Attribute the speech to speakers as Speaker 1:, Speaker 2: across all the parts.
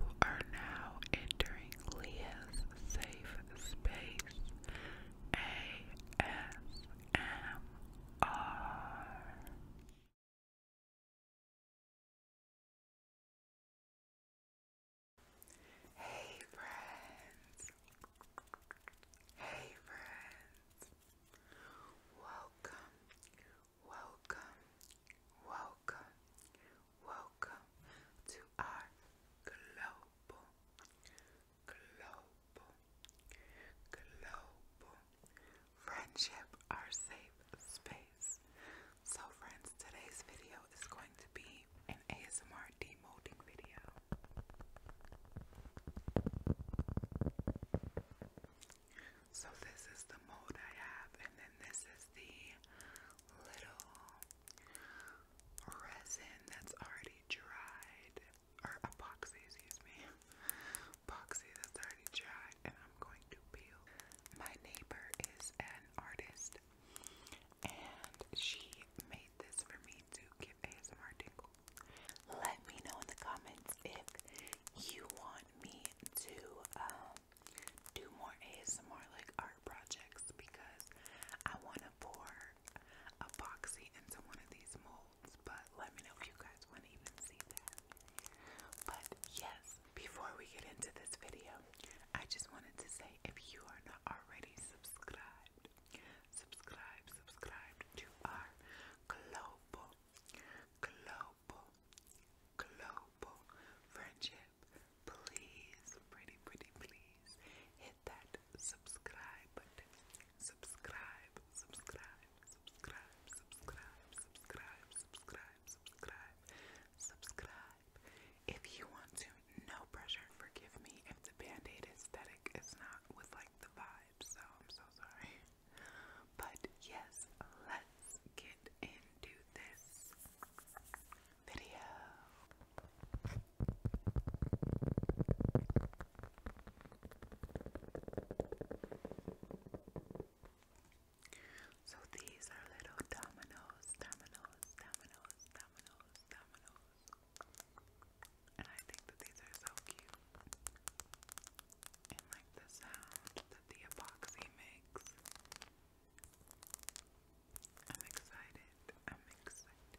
Speaker 1: We are now entering Leah's safe space ASMR. Hey friends. Hey friends. Welcome. Welcome, welcome, welcome to our global, global, global friendship, our safe space. So, friends, today's video is going to be an ASMR demolding video. So this is the mode I have, and then this is the little resin that's already dried, or epoxy, excuse me, epoxy that's already dried, and I'm going to peel. My neighbor is an artist, and she made this for me to give ASMR tingle. Let me know in the comments if you want me to um, do more ASMR like art projects because I want to pour epoxy into one of these molds. But let me know if you guys want to even see that. But yes, before we get into this video, I just wanted to say if you are not already subscribed, subscribe, subscribe to our global, global global, friendship. Please, pretty, pretty, please hit that subscribe button. Subscribe, subscribe, subscribe, subscribe, subscribe, subscribe, subscribe, subscribe. If you want to, no pressure. Forgive me if the band aesthetic is not with like the vibe, so I'm so sorry. But yes, let's get into this video. So these are little dominoes, dominoes, dominoes, dominoes, dominoes. And I think that these are so cute and like the sound that the epoxy makes. I'm excited. I'm excited.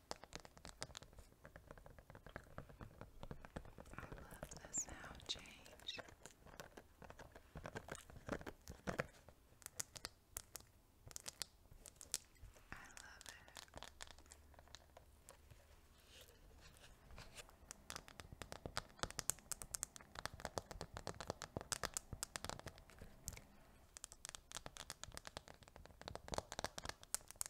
Speaker 1: I love the sound change. I love it.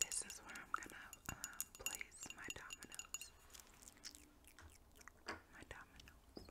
Speaker 1: This is where I'm gonna um, place my dominoes. My dominoes.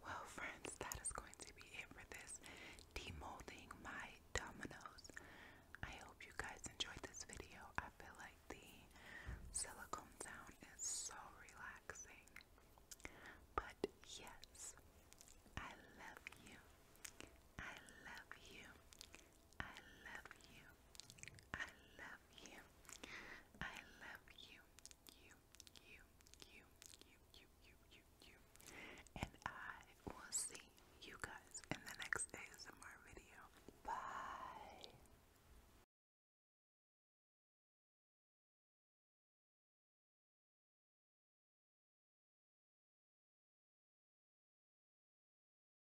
Speaker 1: Well, friends, that is going to be it for this demolding my dominoes. I hope you guys enjoyed this video. I feel like the silicone sound is so relaxing. But yes, I love you. I love you. I love you. I love you. I love you. You, you, you, you, you, you, you, you. And I will see you guys in the next ASMR video. Bye.